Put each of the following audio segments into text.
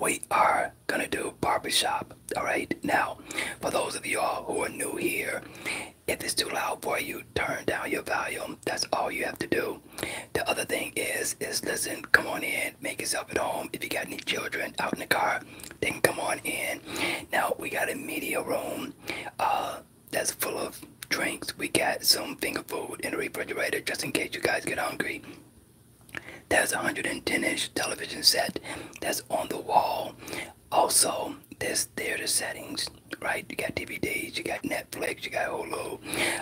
we are gonna do barbershop. Alright, now for those of y'all who are new here, if it's too loud for you, turn down your volume. That's all you have to do. The other thing is is listen, come on in, make yourself at home. If you got any children out in the car, then come on in. Now we got a media room uh that's full of drinks. We got some finger food in the refrigerator just in case you guys get hungry. There's a 110-inch television set that's on the wall. Also, there's theater settings, right? You got DVDs, you got Netflix, you got Hulu.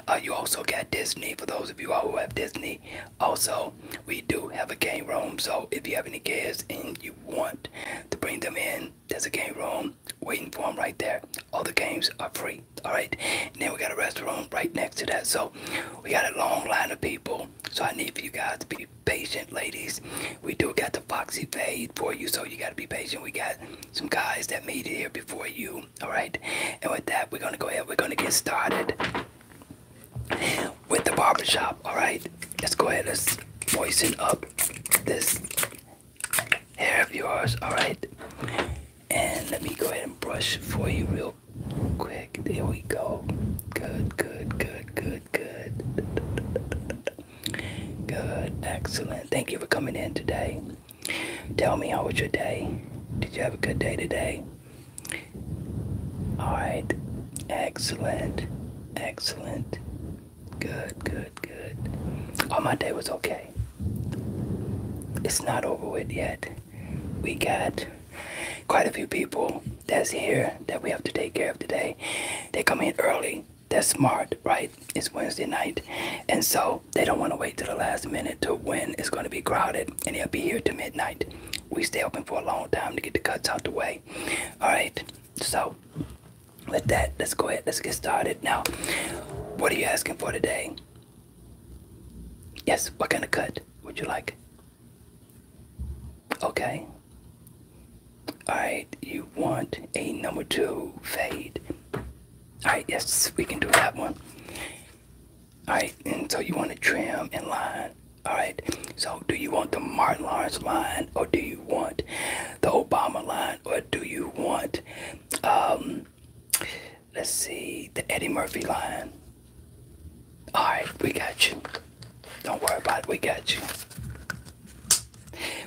Uh, you also got Disney. For those of you all who have Disney, also we do have a game room. So if you have any kids and you want to bring them in, there's a game room waiting for them right there. All the games are free. All right. And then we got a restroom right next to that. So we got a long line of people. So I need for you guys to be patient, ladies. We do got the Foxy Fade for you, so you got to be patient. We got some guys that made it here before you, all right? And with that, we're going to go ahead. We're going to get started with the barbershop, all right? Let's go ahead. Let's moisten up this hair of yours, all right? And let me go ahead and brush for you real Quick, there we go. Good, good, good, good, good. Good, excellent. Thank you for coming in today. Tell me how was your day? Did you have a good day today? Alright, excellent, excellent. Good, good, good. Oh, my day was okay. It's not over with yet. We got quite a few people that's here that we have to take care of today. They come in early. They're smart, right? It's Wednesday night. And so they don't want to wait till the last minute to when it's going to be crowded and they'll be here till midnight. We stay open for a long time to get the cuts out the way. All right. So with that, let's go ahead. Let's get started. Now, what are you asking for today? Yes, what kind of cut would you like? Okay. Alright, you want a number two fade. Alright, yes, we can do that one. Alright, and so you want to trim and line. Alright, so do you want the Martin Lawrence line or do you want the Obama line or do you want um Let's see the Eddie Murphy line. All right, we got you. Don't worry about it, we got you.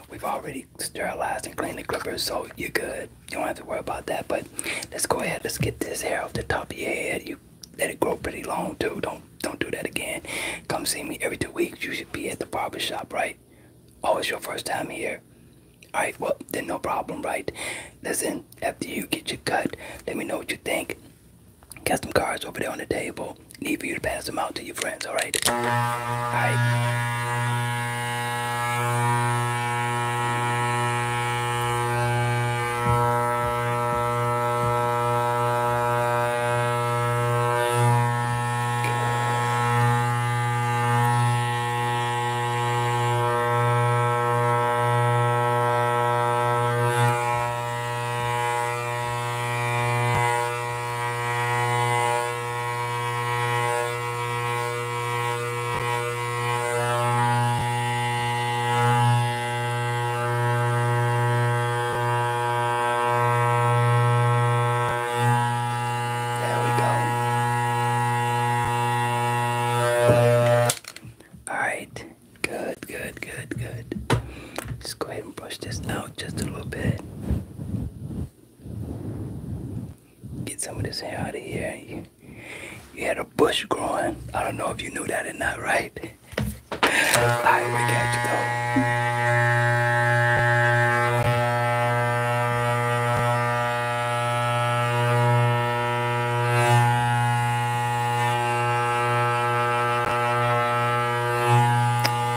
We've already sterilized and cleaned the clippers, so you're good. You don't have to worry about that. But let's go ahead. Let's get this hair off the top of your head. You let it grow pretty long too. Don't don't do that again. Come see me every two weeks. You should be at the barber shop, right? Oh, it's your first time here. All right, well, then no problem, right? Listen, after you get your cut, let me know what you think. Got some cards over there on the table. Need for you to pass them out to your friends, alright? Alright. There we go. Alright. Good, good, good, good. Just go ahead and brush this out just a little bit. Get some of this hair out of here. You, had a bush growing. I don't know if you knew that or not, right? Alright, we got though.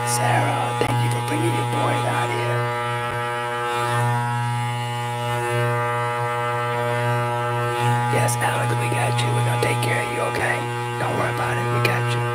Sarah, thank you for bringing your boy out here. Yes, Alex, we got you. We're gonna take care of you, okay? Don't worry about it. We got you.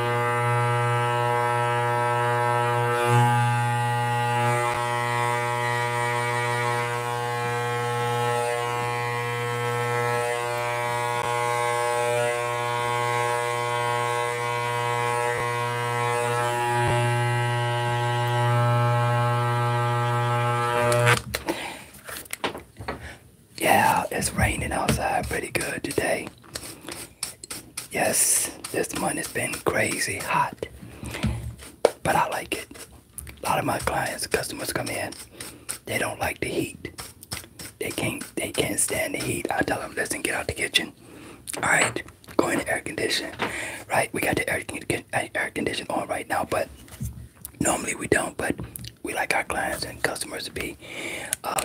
Yeah, it's raining outside pretty good today. Yes, this month has been crazy hot, but I like it a lot of my clients, customers come in, they don't like the heat. They can't they can't stand the heat. I tell them, listen, get out the kitchen. All right, go in the air condition. Right, we got the air, uh, air condition on right now, but normally we don't. But we like our clients and customers to be uh,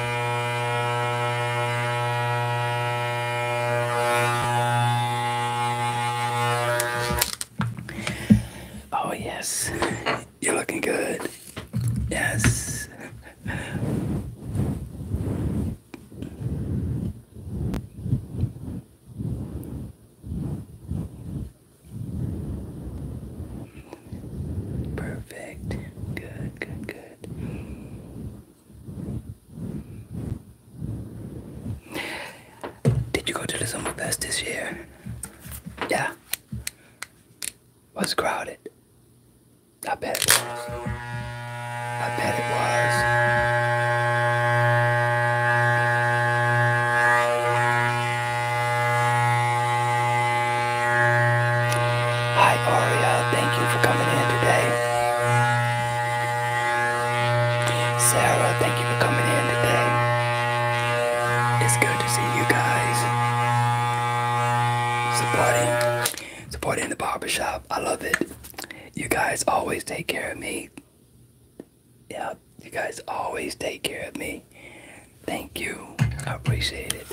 Oh, yes, you're looking good. Yes. Perfect. Good, good, good. Did you go to the Summer Fest this year? Yeah. Was crowded. I bet it was. I bet it was. Hi, Aria. Thank you for coming in today. Sarah, thank you for coming in today. It's good to see you guys supporting, supporting the barbershop. I love it. You guys always take care of me. Yeah, you guys always take care of me. Thank you. I appreciate it.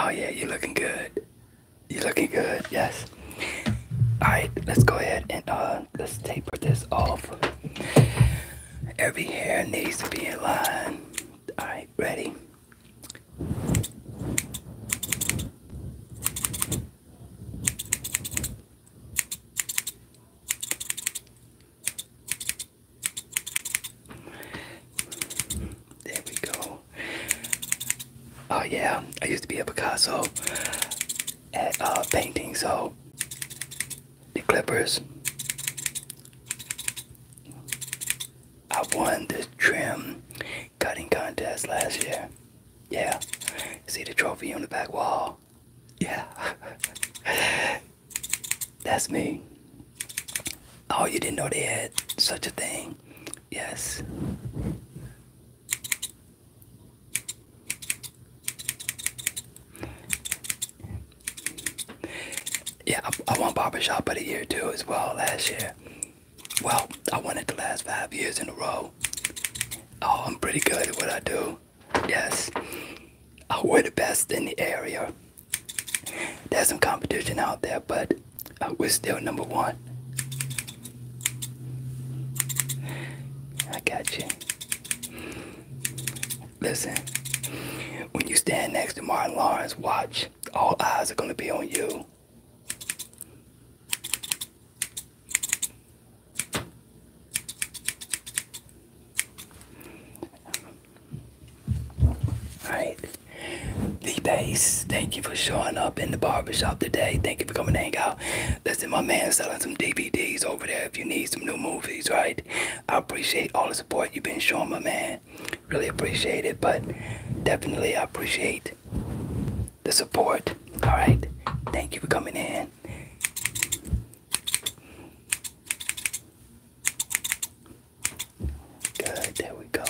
Oh yeah, you're looking good. You're looking good, yes. Alright, let's go ahead and uh Let's taper this off. Every hair needs to be in line. Alright, ready? There we go. Oh yeah, I used to be a Picasso at uh, painting, so the Clippers. I won this trim cutting contest last year. Yeah. See the trophy on the back wall? Yeah. That's me. Oh, you didn't know they had such a thing? Yes. Yeah, I, won barber shop of the Year too as well last year. Well, I won it the last five years in a row. Oh, I'm pretty good at what I do. Yes, I we're the best in the area. There's some competition out there, but uh, we're still number one. I got you. Listen, when you stand next to Martin Lawrence, watch. All eyes are going to be on you. Alright. D Base, thank you for showing up in the barbershop today. Thank you for coming to hang out. Listen, my man selling some DVDs over there if you need some new movies, right? I appreciate all the support you've been showing, my man. Really appreciate it, but definitely I appreciate the support. Alright? Thank you for coming in. Good, there we go.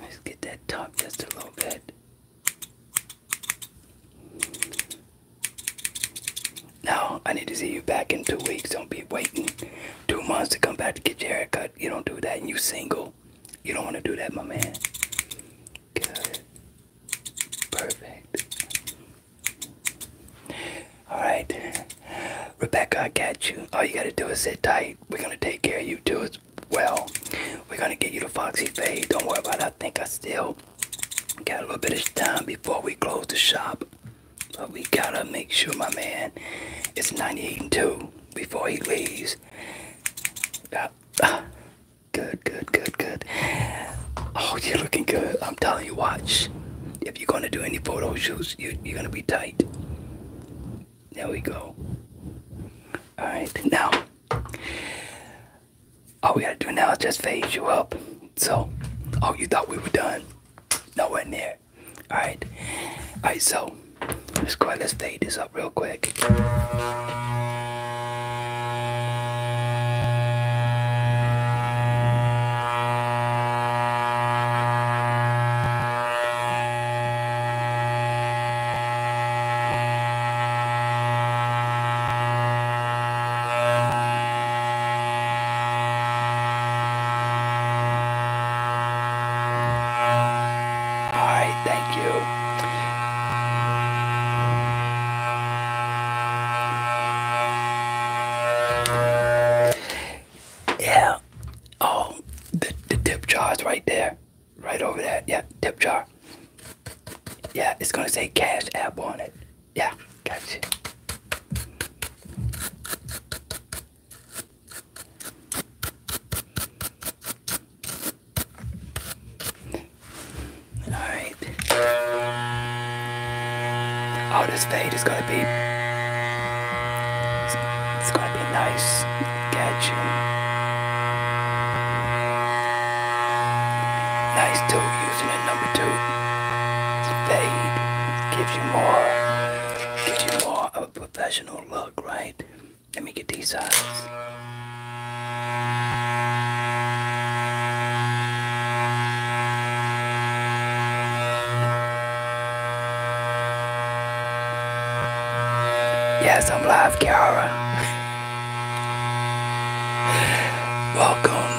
Let's get that top just a little bit. No, I need to see you back in two weeks. Don't be waiting two months to come back to get your haircut. You don't do that and you are single. You don't want to do that, my man. Perfect. Alright. Rebecca, I got you. All you gotta do is sit tight. We're gonna take care of you too well. We're gonna get you to Foxy Fade. Don't worry about it. I think I still got a little bit of time before we close the shop. But we gotta make sure my man it's 98 and 2 before he leaves. Uh, ah, good, good, good, good. Oh, you're looking good. I'm telling you, watch. If you're gonna do any photo shoots, you, you're gonna be tight. There we go. Alright, now all we gotta do now is just phase you up. So, oh, you thought we were done? Nowhere near. All right, all right. So, let's go Let's phase this up real quick. All right. thank you. Yeah. Oh, the, the dip jars right there. Right over there. Yeah, tip jar. Yeah, it's gonna say Cash App on it. Yeah, gotcha. All right. Oh, this fade is gonna be. It's, gonna be nice. Gotcha. Nice tool using a number two. Fade gives you more, gives you more of a professional look, right? Let me get these eyes. Yes, I'm live, Kiara. Welcome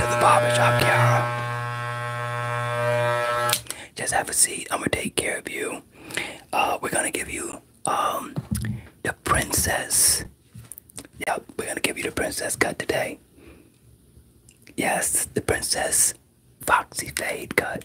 to the barber shop, Kiara. Just have a seat. I'm gonna take care of you. Uh, we're gonna give you um the princess. Yep, we're gonna give you the princess cut today. Yes, the princess Foxy Fade cut.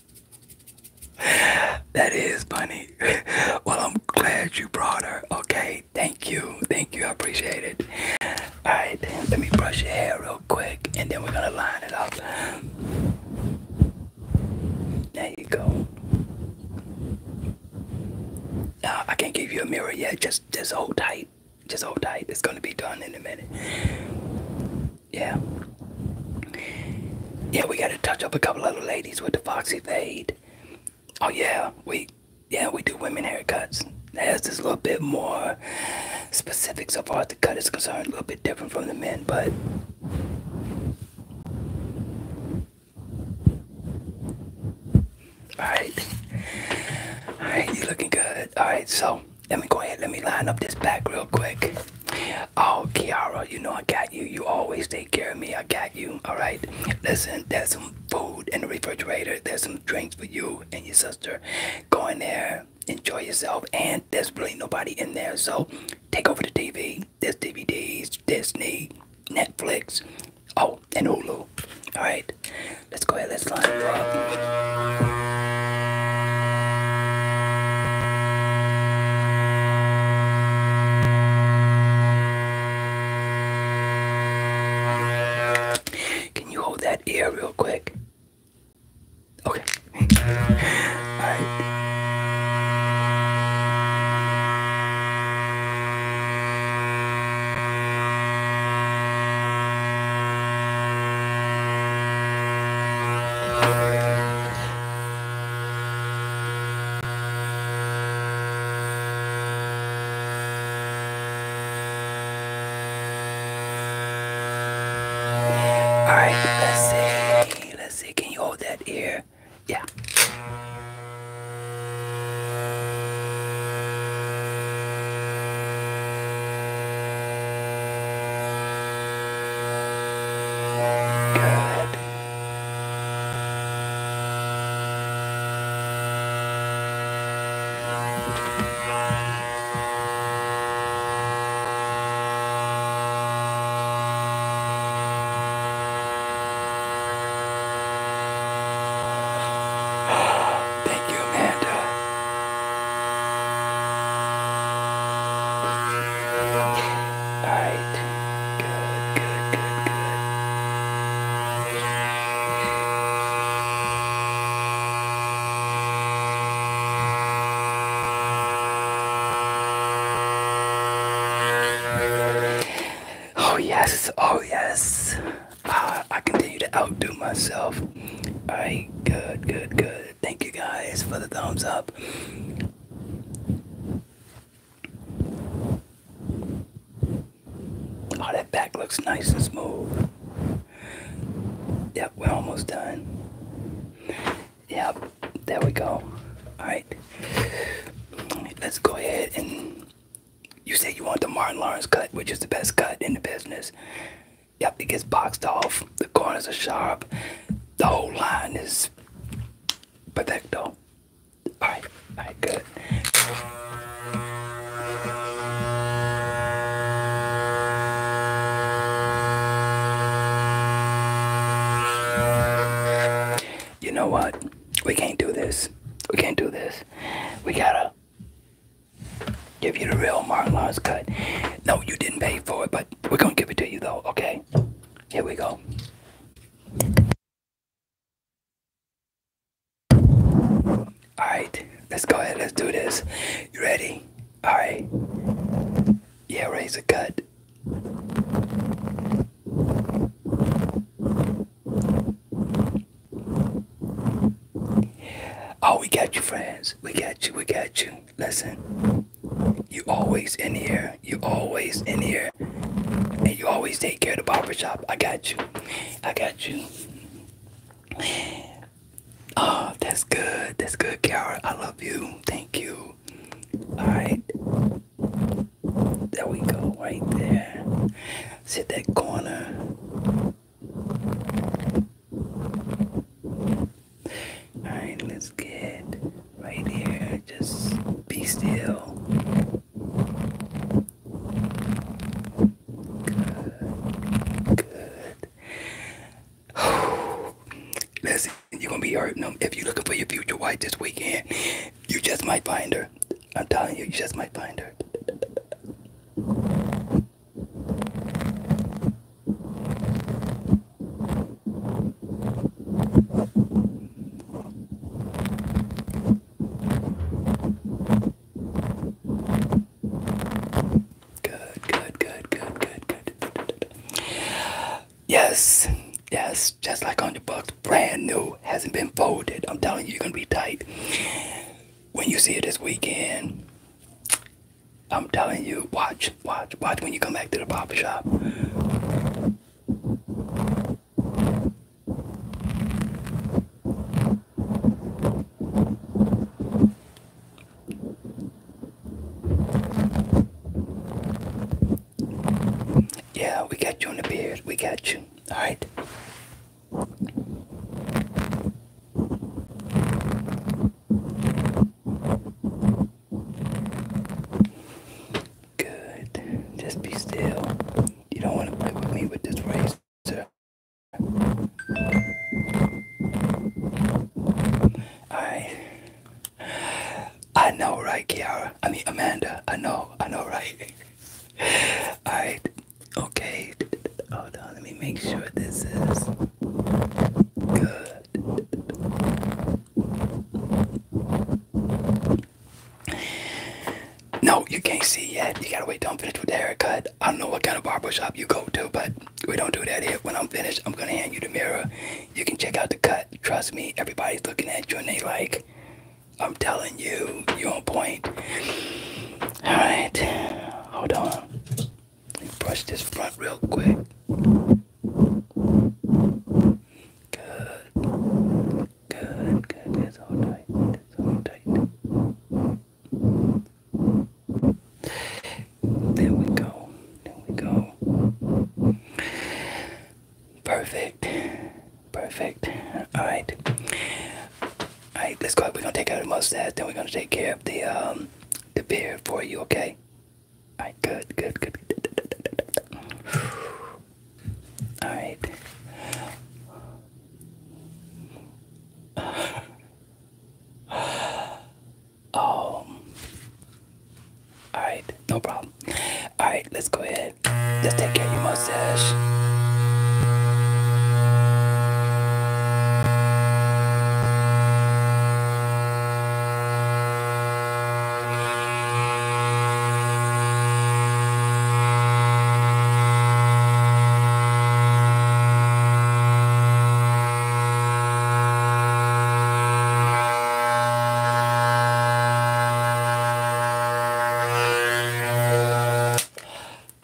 that is funny. well, I'm glad you brought her. Okay, thank you. Thank you. I appreciate it. All right, then, let me brush your hair real quick and then we're going to line it up. There you go. Uh, I can't give you a mirror yet. Just, just hold tight. Just hold tight. It's going to be done in a minute yeah. Yeah, we gotta touch up a couple other ladies with the Foxy Fade. Oh yeah, we yeah, we do women haircuts. That's just a little bit more specific so far as the cut is concerned, a little bit different from the men, but Alright. Alright, you right, you're looking good. Alright, so let me go ahead, let me line up this back real quick. Oh, Kiara, you know I got you. You always take care of me. I got you. All right. Listen, there's some food in the refrigerator. There's some drinks for you and your sister. Go in there, enjoy yourself, and there's really nobody in there. So take over the TV. There's DVDs, Disney, Netflix, oh, and Hulu. All right. Let's go ahead. Let's line can you hold that ear real quick? Okay. Alright. All right, let's see. Let's see. Can you hold that ear? Yeah. Good. Thank you, Amanda. Alright. Good, good, good, good. Oh, yes, oh, yes. Uh, I continue to outdo myself. Alright, good, good, good. Thank you guys for the thumbs up. Oh, that back looks nice and smooth. Yep, we're almost done. Yep, there we go. Alright, let's go ahead and you said you want the Martin Lawrence cut, which is the best cut in the business. Yep, it gets boxed off. The corners are sharp. The whole line is but don't. All Alright, alright, good. You know what? We can't do this. We can't do this. We gotta give you the real Martin Lawrence cut. No, you didn't pay for it, but we're gonna give it to you though, okay? Here we go. Alright, let's go ahead, let's do this. You ready? Alright. Yeah, raise the cut. Oh, we got you, friends. We got you, we got you. Listen. You always in here. You always in here. And you always take care of the barber shop. I got you. I got you. Oh, that's good. That's good, Kiara. I love you. Thank you. Alright. There we go. Right there. Sit that corner. Alright, let's get right here. Just be still. Good. Good. Listen, you're gonna be hurting them. If you're looking for your future wife this weekend, you just might find her. I'm telling you, you just might find her. Good, good, good, good, good. Yes, yes, just like on the box, brand new, hasn't been folded. I'm telling you, you're gonna be tight. When you see it this weekend, I'm telling you, watch, watch, watch when you come back to the barber shop. Yeah, we got you on the beard. We got you. All right. Good. Just be still. You don't want to play with me with this razor. Alright. I know, right, Kiara? I mean, Amanda. I know. I know, right? Alright. Okay. Hold on. Let me make sure this is good. No, you can't see yet. You gotta wait till I'm finished with the haircut. I don't know what kind of barber shop you go to, but we don't do that here. When I'm finished, I'm gonna hand you the mirror. You can check out the cut. Trust me, everybody's looking at you and they like, I'm telling you, you on point. Alright, hold on. Let me brush this front real quick. Good. Good, good. It's tight. It's tight. There we go. There we go. Perfect. Perfect. Alright. Alright, let's go. We're gonna take care of the mustache, then we're gonna take care of the um the beard for you, okay? Alright, good, good, good. Alright. oh. Alright, no problem. Alright, let's go ahead. Just take care of your mustache.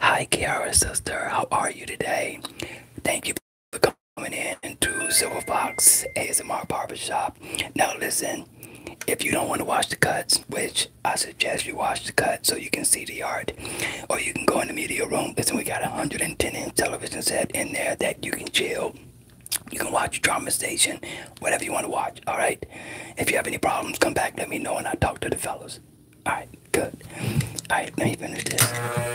Hi, Kiara sister. How are you today? Thank you for coming in to Silver Fox ASMR barber shop. Now listen, if you don't want to watch the cuts, which I suggest you watch the cut so you can see the art, or you can go in the media room. Listen, we got a 110 inch television set in there that you can chill. You can watch Drama Station, whatever you want to watch, all right? If you have any problems, come back, let me know, and I'll talk to the fellows. All right, good. All right, let me finish this.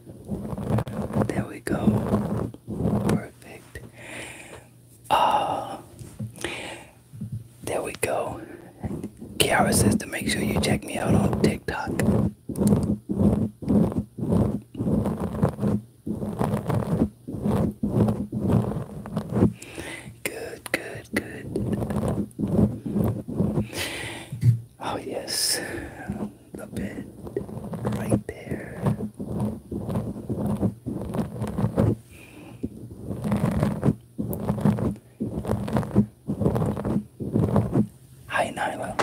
There we go. Perfect. Uh, there we go. Kiara says to make sure you check me out on TikTok. Good, good, good. Oh, yes, the bed right there. Hi, Nyla.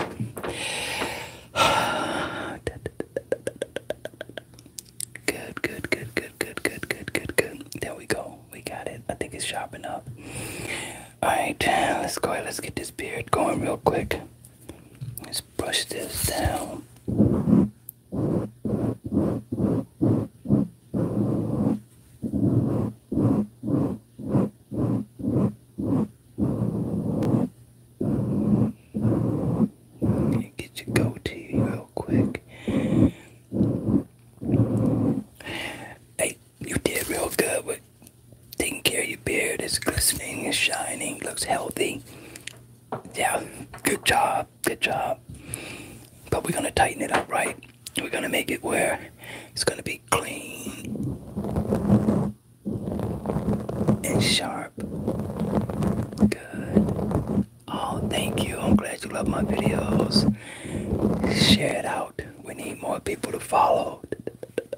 Good, good, good, good, good, good, good, good, good. There we go. We got it. I think it's sharpened up. Alright, let's go ahead. Let's get this beard going real quick. It's just brush this down. Get your goatee real quick. Hey, you did real good Taking care of your beard, it's glistening, it's shining, looks healthy. Yeah, good job, good job. But we're gonna tighten it up, right? We're gonna make it where it's gonna be clean and sharp. Good. Oh, thank you. I'm glad you love my videos. Share it out. We need more people to follow.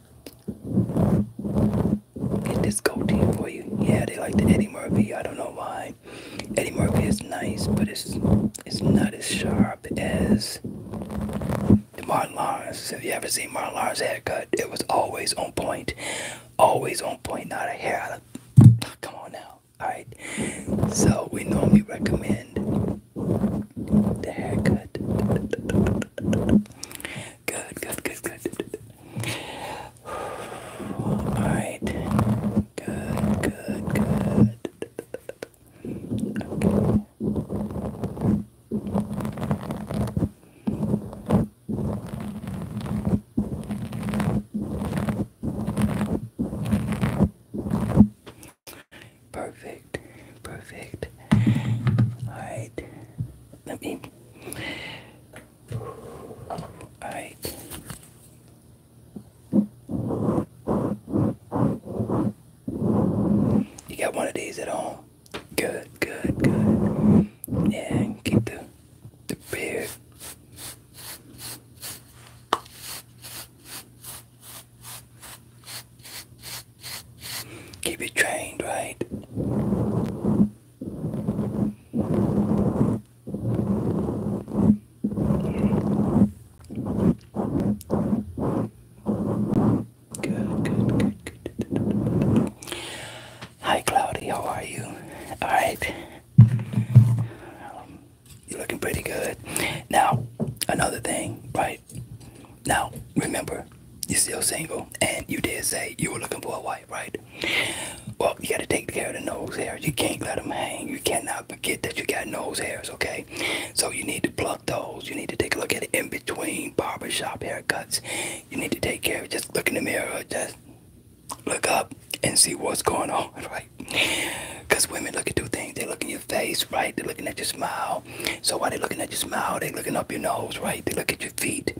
Get this team for you. Yeah, they like the Eddie Murphy. I don't know why. Eddie Murphy is nice, but it's it's not as sharp as the Martin Lawrence. Have you ever seen Martin Lawrence's haircut? It was always on point. Always on point, not a hair out of come on now. Alright. So we normally recommend the haircut. Good, good, good, good. Alright. Good, good, good. Perfect, perfect. All right, let me you got one of these at home? Good, good, good. Yeah, keep the the beard. Keep it trained, right? Good, good, good, good. Hi, Cloudy. How are you? All right. Um, you're looking pretty good. Now, another thing, right? Now, remember, you're still single, and you did say you were looking for a wife right? Well, you gotta take care of the nose hairs. You can't let them hang. You cannot forget that you got nose hairs, okay? So you need to pluck those. You need to take a look at it in between barbershop haircuts. You need to take care of it. Just look in the mirror, just look up and see what's going on, right? Because women look at two things. They look in your face, right? They're looking at your smile. So while they're looking at your smile, they're looking up your nose, right? They look at your feet.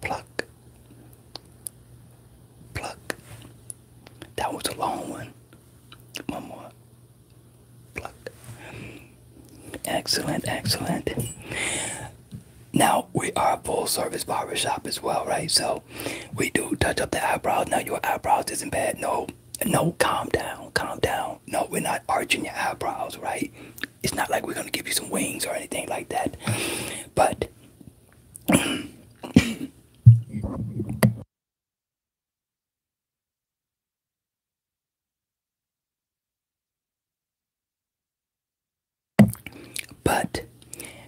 Pluck. Pluck. That was a long one. One more. Pluck. Excellent, excellent. Now we are a full service barbershop as well, right? So we do touch up the eyebrows. Now your eyebrows isn't bad. No, no, calm down, calm down. No, we're not arching your eyebrows, right? it's not like we're gonna give you some wings or anything like that. But But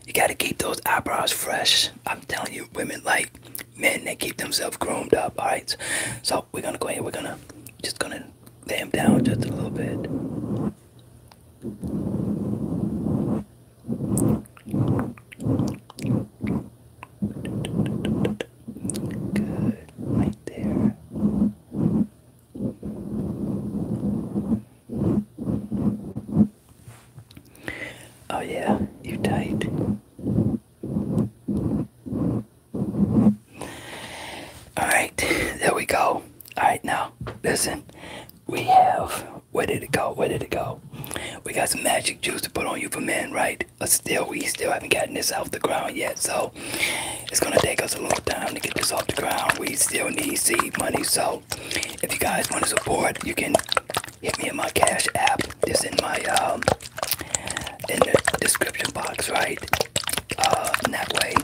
you gotta keep those eyebrows fresh. I'm telling you, women like men They keep themselves groomed up, alright? So we're gonna go ahead. We're gonna just gonna lay him down just a little bit. Good, right there. Oh yeah, you tight. Alright, there we go. Alright, now, listen. We have, where did it go? Where did it go? We got some magic juice to put on you for men, right? But still, we still haven't gotten this off the ground yet, so it's gonna take us a little time to get this off the ground. We still need seed money, so if you guys want to support, you can hit me in my Cash App. This in my um in the description box, right? Uh, and that way,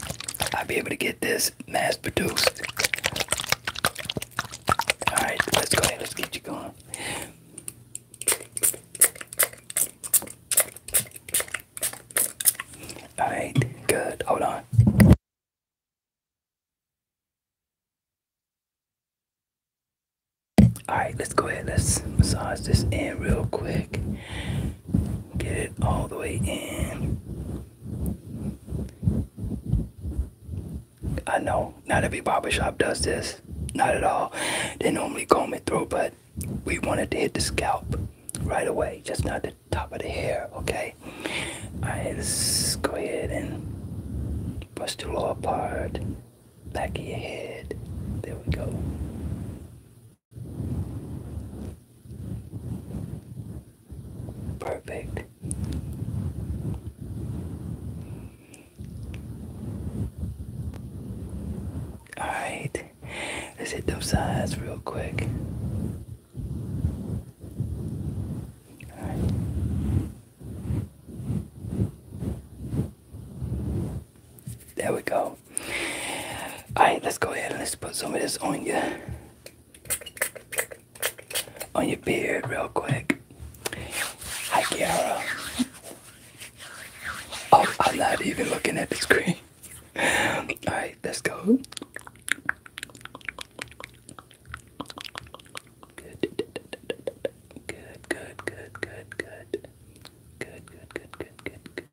I'll be able to get this mass produced. Alright, let's go ahead, let's get you going. Alright, good. Hold on. Alright, let's go ahead. Let's massage this in real quick. Get it all the way in. I know not every barber shop does this, not at all. They normally comb it through, but we wanted to hit the scalp right away, just not the top of the hair, okay? Alright, let's go ahead and brush the lower part, back of your head. There we go. Perfect. Alright, let's hit those sides real quick. Alright. There we go. Alright, let's go ahead and let's put some of this on your on your beard real quick. Hi Kiara. Oh, I'm not even looking at the screen. Alright, let's go. good, good, good, good, good, good, good, good, good, good, good.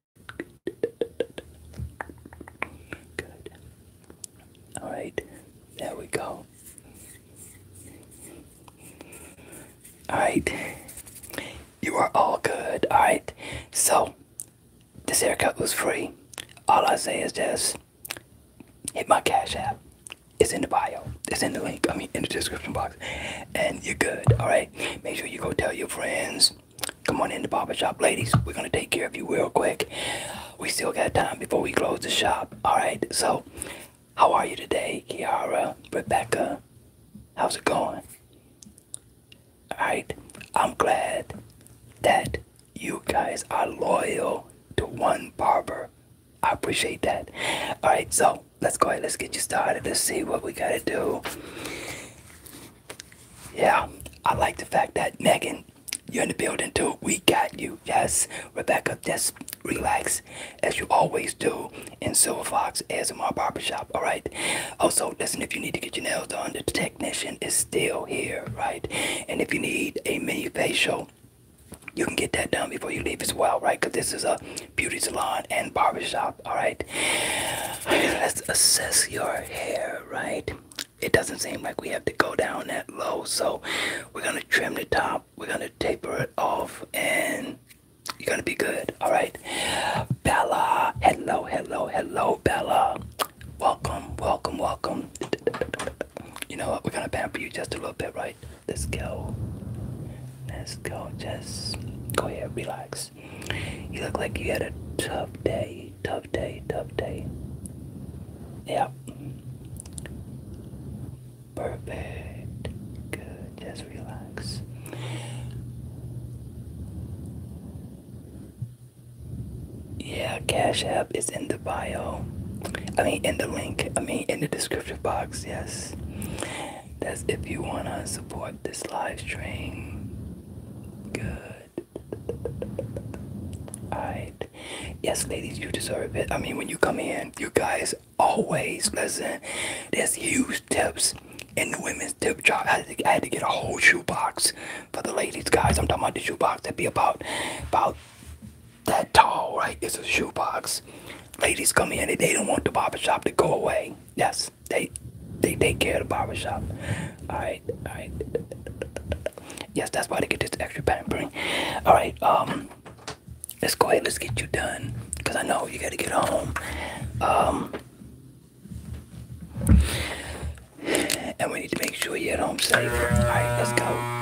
Good. All right. There we go. All right. You are all good. All right. So, this haircut was free. All I say is just hit my Cash App. It's in the bio. It's in the link. I mean, in the description box. And you're good. All right. Make sure you go tell your friends. Come on in the barber shop, ladies. We're gonna take care of you real quick. We still got time before we close the shop. All right. So, how are you today, Kiara, Rebecca? How's it going? All right. I'm glad that you guys are loyal to one barber. I appreciate that. All right. So let's go ahead. Let's get you started. Let's see what we gotta do. Yeah, I like the fact that Megan, you're in the building too. We got you. Yes, Rebecca, just relax as you always do in Silver Fox Barber Shop. All right. Also, listen, if you need to get your nails done, the technician is still here, right? And if you need a mini facial, you can get that done before you leave as well, right? Because this is a beauty salon and barbershop alright? Let's assess your hair, right? It doesn't seem like we have to go down that low, so we're gonna trim the top, we're gonna taper it off, and you're gonna be good, alright? Bella, hello, hello, hello, Bella. Welcome, welcome, welcome. You know what? We're gonna pamper you just a little bit, right? Let's go. Let's go. Just go ahead, relax. You look like you had a tough day, tough day, tough day. Yep. Perfect. Good. Just relax. Yeah, Cash App is in the bio. I mean, in the link. I mean, in the description box. Yes. That's if you want to support this live stream. Good. Alright. Yes, ladies, you deserve it. I mean, when you come in, you guys always listen. There's huge tips in the women's tip jar. I had, to, get a whole shoebox for the ladies, guys. I'm talking about the shoebox that'd be about about that tall, right? It's a shoebox. Ladies come in and they don't want the barber shop to go away. Yes. They they take care of the barbershop. Alright, alright. Yes, that's why they get this extra pampering. Alright, um let's go ahead, let's get you done. Cause I know you gotta get home. Um and we need to make sure you're home safe. Alright, let's go.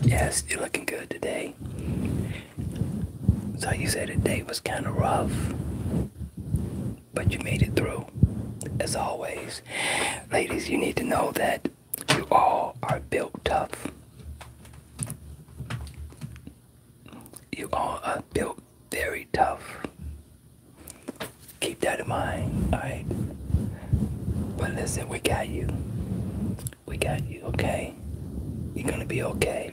Yes, you're looking good today. So you said the day was kind of rough, but you made it through. As always, ladies, you need to know that you all are built tough. You all are built very tough. Keep that in mind, alright? But listen, we got you. We got you, okay? You're gonna be okay.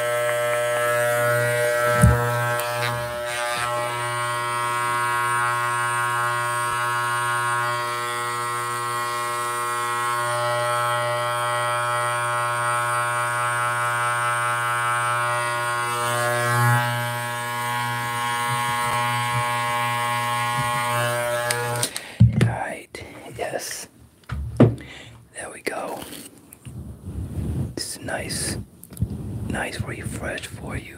All right, yes. There we go. It's nice, nice refresh for you.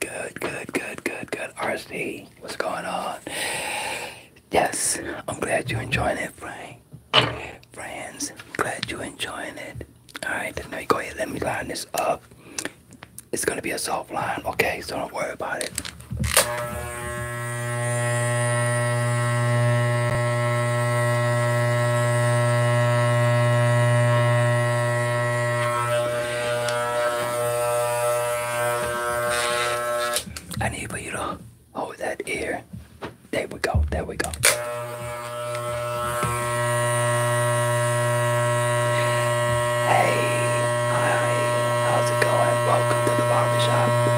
Good, good, good, good, good. RC, what's going on? yes, I'm glad you're enjoying it, Frank. Friends, glad you're enjoying it. Alright, now you go ahead, let me line this up. It's gonna be a soft line, okay? So don't worry about it. I need for you Oh, that ear. There we go, there we go. Hey, hi, how's it going? Welcome to the barbershop.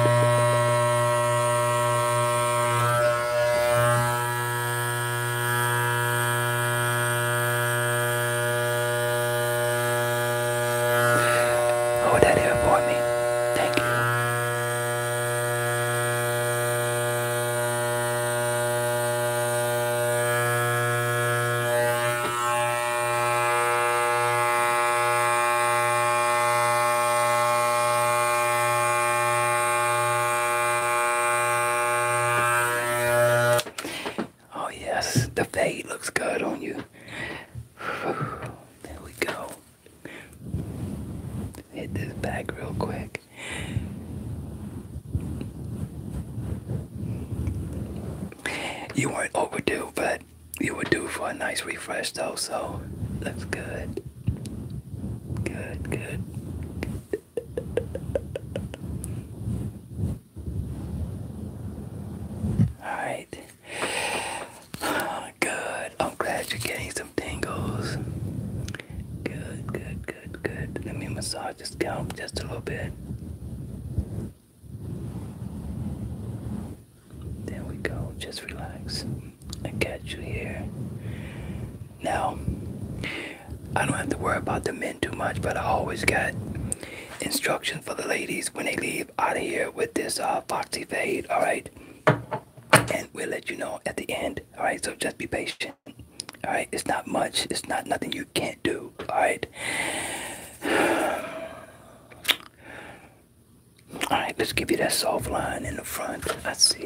Hold that here me. Thank you. Oh yes, the fade looks good on you. There we go. Hit this back real quick. You weren't overdue, but you were due for a nice refresh though, so looks good. Good, good. Alright. Good. I'm glad you're getting some tingles. Good, good, good, good. Let me massage the scalp just a little bit. There we go. Just relax. I got you here. Now, I don't have to worry about the men too much, but I always got instructions for the ladies when they leave out of here with this. Uh, uh, Foxy Fade, all right? And we'll let you know at the end, all right? So just be patient, all right? It's not much. It's not nothing you can't do, all right? All right, let's give you that soft line in the front. Let's see.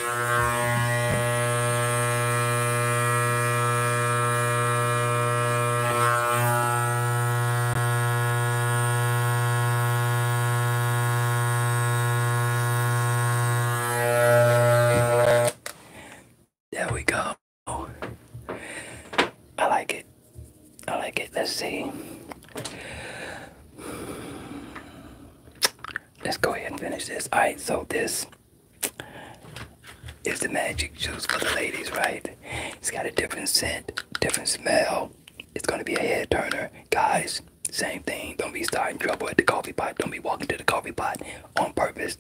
There we go. I like it. I like it. Let's see. Let's go ahead and finish this. Alright, so this it's the magic juice for the ladies, right? It's got a different scent, different smell. It's gonna be a hair turner. Guys, same thing. Don't be starting trouble at the coffee pot. Don't be walking to the coffee pot on purpose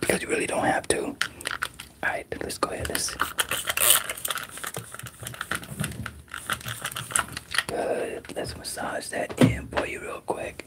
because you really don't have to. Alright, let's go ahead. Let's Let's massage that in for you real quick.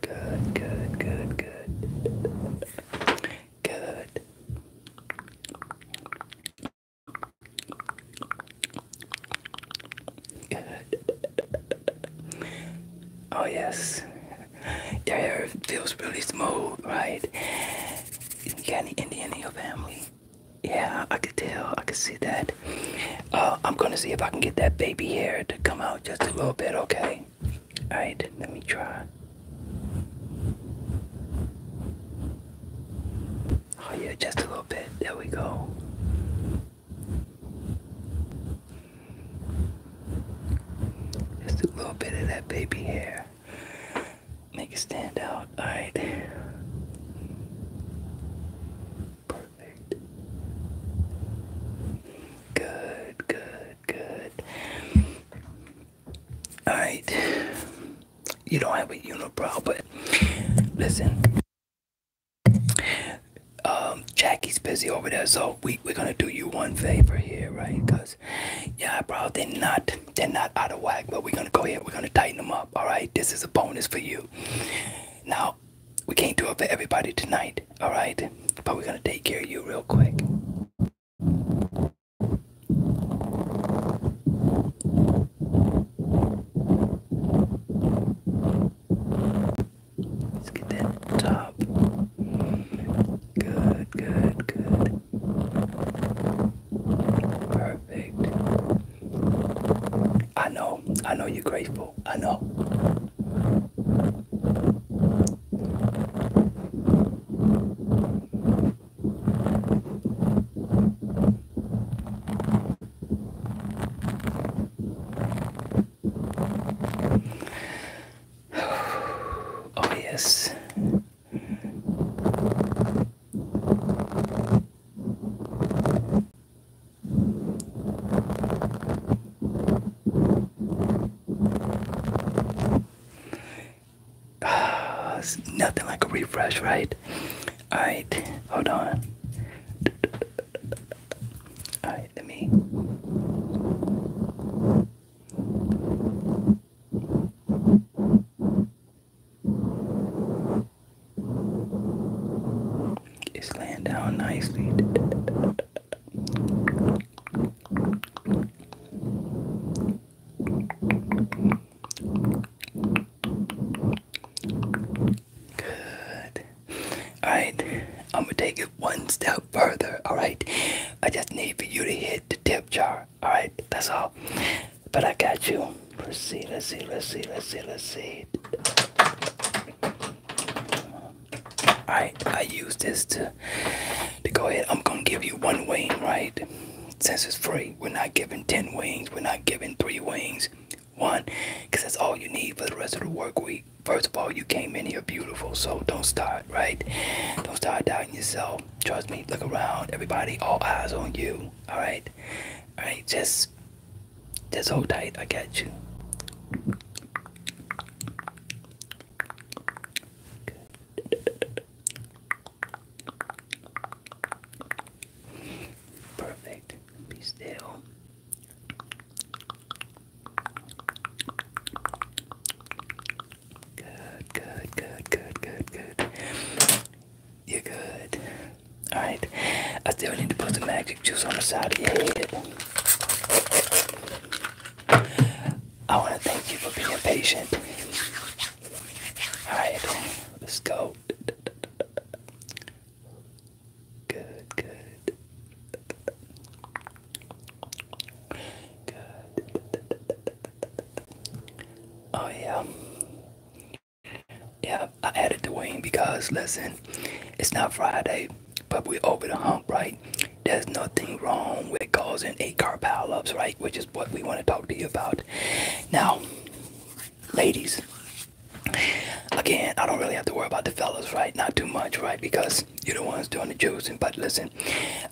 Good, good, good, good. Good. Oh, yes. Your hair feels really smooth, right? You got any Indian in your family? Yeah, I could tell. I could see that. Uh, I'm gonna see if I can get that baby hair to come out just a little bit. Okay. All right. Let me try. Oh yeah, just a little bit. There we go. Just a little bit of that baby hair. Make it stand out. Alright. Perfect. Good, good, good. Alright. You don't have a unibrow, but listen. Um, Jackie's busy over there, so we, we're gonna do you one favor here, right? Because your eyebrow did not they're not out of whack, but we're gonna go ahead. We're gonna tighten them up. All right. This is a bonus for you. Now, we can't do it for everybody tonight. All right. But we're gonna take care of you real quick. Let's get that top. Good, good, good. Perfect. I know. I know you're grateful. I know. Oh, yes. Uh, nothing like a refresh, right? Alright, hold on. Alright, let me. It's laying down nicely. Good. Alright, I'm gonna take it one step further. Alright, I just need for you to hit the tip jar. Alright, that's all. But I got you. Let's see, let's see, let's see, let's see, let's see. I I use this to to go ahead. I'm gonna give you one wing, right? Since it's free, we're not giving ten wings. We're not giving three wings. One, because that's all you need for the rest of the work week. First of all, you came in here beautiful, so don't start, right? Don't start doubting yourself. Trust me. Look around. Everybody, all eyes on you. All right. I just just hold tight, I got you. Perfect. Be still. Good, good, good, good, good, good. You're good. Alright. I still need to put the magic juice on the side of your head. I want to thank you for being patient. Alright, let's go. Good, good. Good. Oh, yeah. Yeah, I added the wing because listen, it's not Friday, but we over the hump, right? There's nothing wrong with causing eight car pileups, right? Which is what we want to talk to you about. Now, ladies, again, I don't really have to worry about the fellas, right? Not too much, right? Because you're the ones doing the juicing. But listen,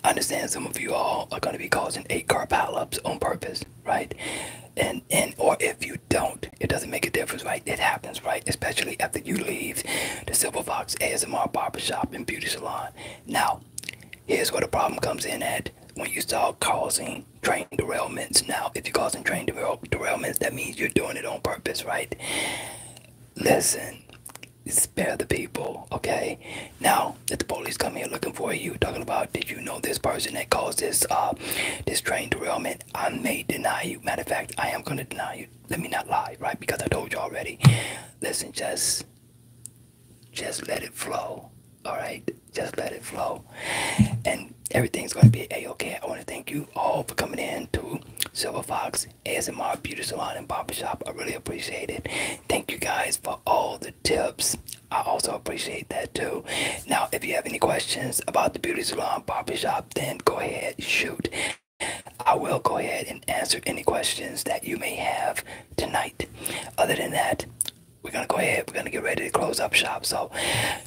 I understand some of you all are going to be causing eight car pileups on purpose, right? and and or if you don't, it doesn't make a difference, right? It happens, right? Especially after you leave the Silver Fox ASMR Shop and beauty salon. Now, here's where the problem comes in at when you start causing train derailments. Now, if you're causing train derail derailments, that means you're doing it on purpose, right? Listen, spare the people, okay? Now, if the police come here looking for you, talking about did you know this person that caused this uh this train derailment. I may deny you. Matter of fact, I am gonna deny you. Let me not lie, right? Because I told you already. Listen, just just let it flow. Alright? Just let it flow. And everything's gonna be a-okay. I wanna thank you all for coming in to Silver Fox ASMR Beauty Salon and Barbershop. I really appreciate it. Thank you guys for all the tips I also appreciate that too. Now, if you have any questions about the beauty salon barber shop, then go ahead, shoot. I will go ahead and answer any questions that you may have tonight. Other than that, we're gonna go ahead, we're gonna get ready to close up shop. So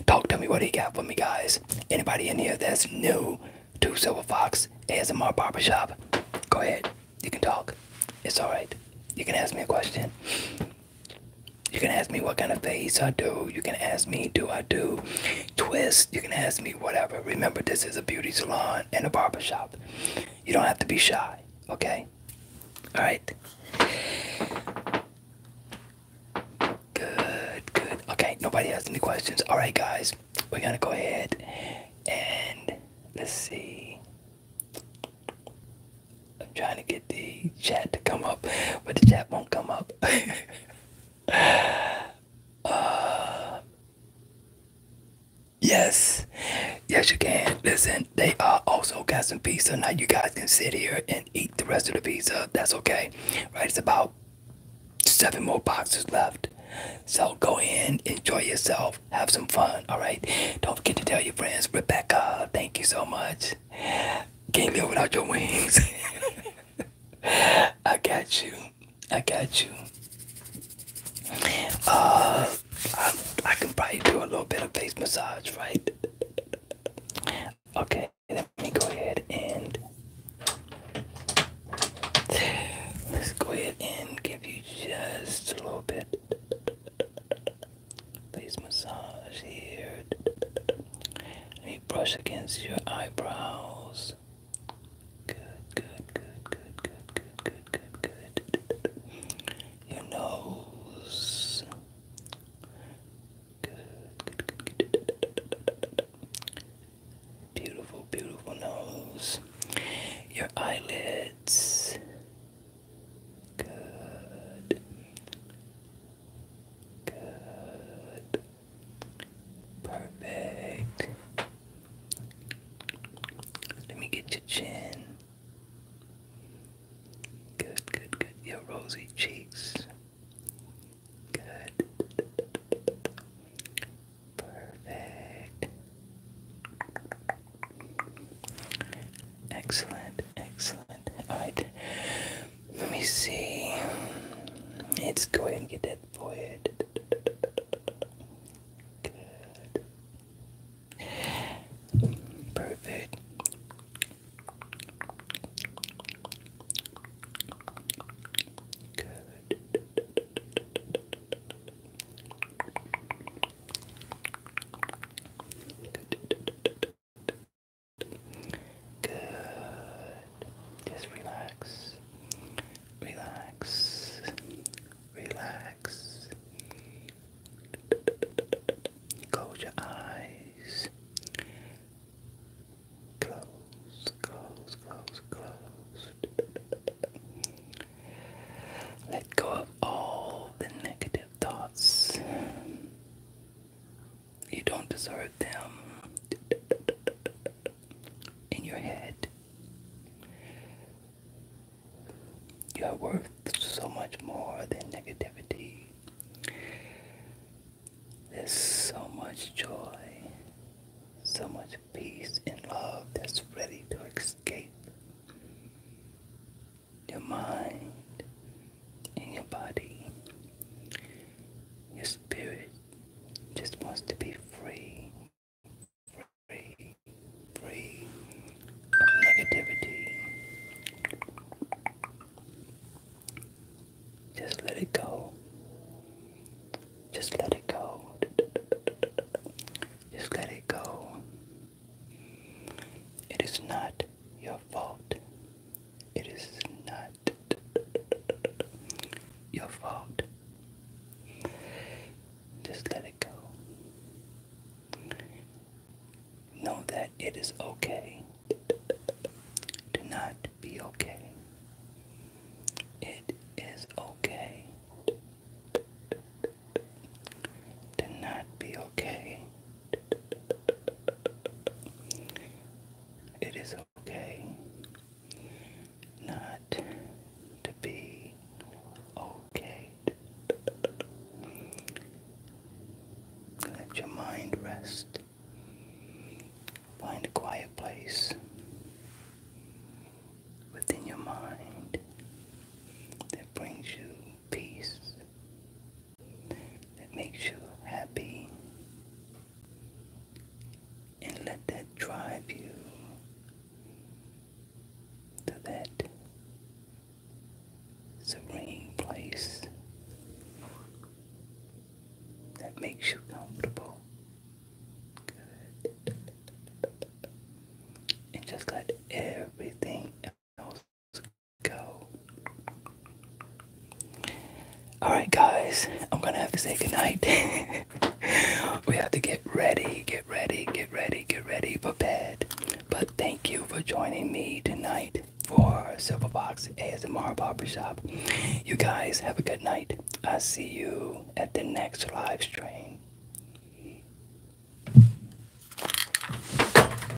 talk to me what do you got for me guys. Anybody in here that's new to Silver Fox ASMR Barber Shop? go ahead. You can talk. It's alright. You can ask me a question. You can ask me what kind of face I do. You can ask me, do I do twist? You can ask me whatever. Remember, this is a beauty salon and a barber shop. You don't have to be shy, okay? Alright. Good, good. Okay, nobody has any questions. Alright, guys, we're gonna go ahead and let's see. I'm trying to get the chat to come up, but the chat won't come up. uh, yes, yes, you can. Listen, they uh, also got some pizza. Now you guys can sit here and eat the rest of the pizza. That's okay, right? It's about seven more boxes left. So go in, enjoy yourself, have some fun, all right? Don't forget to tell your friends. Rebecca, thank you so much. Can't live without your wings. I got you. I got you. Uh, I, I can probably do a little bit of face massage, right? Okay, let me go ahead and let's go ahead and give you just a little bit. Face massage here. Let me brush against your eyebrows. Good, good, good, good, good, good, good, good, good. Your nose. Good, good, good, good. Beautiful, beautiful nose. Your eyelids. Good. Good. Perfect. Let me get your chin. Good, good, good. Your rosy cheeks. Good. Perfect. Excellent, excellent. Alright, let me see. Let's go ahead and get that for Good. Perfect. Good. Good. Just relax. Relax. Relax. Close your eyes. Close, close, close, close. Let go of all the negative thoughts. You don't deserve them in your head. You are worth so much more than negativity. There's so much joy, so much peace and love that's ready to escape your mind, and your body. Your spirit just wants to be free, free, free of negativity. Just let it go. Just let it go. Just let it go. It is not your fault. It is not your fault. Just let it go. Know that it is okay to not be okay. It is okay to not be okay. It is okay not to be okay. Let your mind rest. Find a quiet place within your mind that brings you peace that makes you happy and let that drive you to that serene place that makes you comfortable. And just let everything else Alright, guys, I'm gonna have to say goodnight. we have to get ready, get ready, get ready, get ready for bed. But thank you for joining me tonight for Silver Fox Silverbox ASMR Shop. You guys have a good night. I'll see you at the next live stream.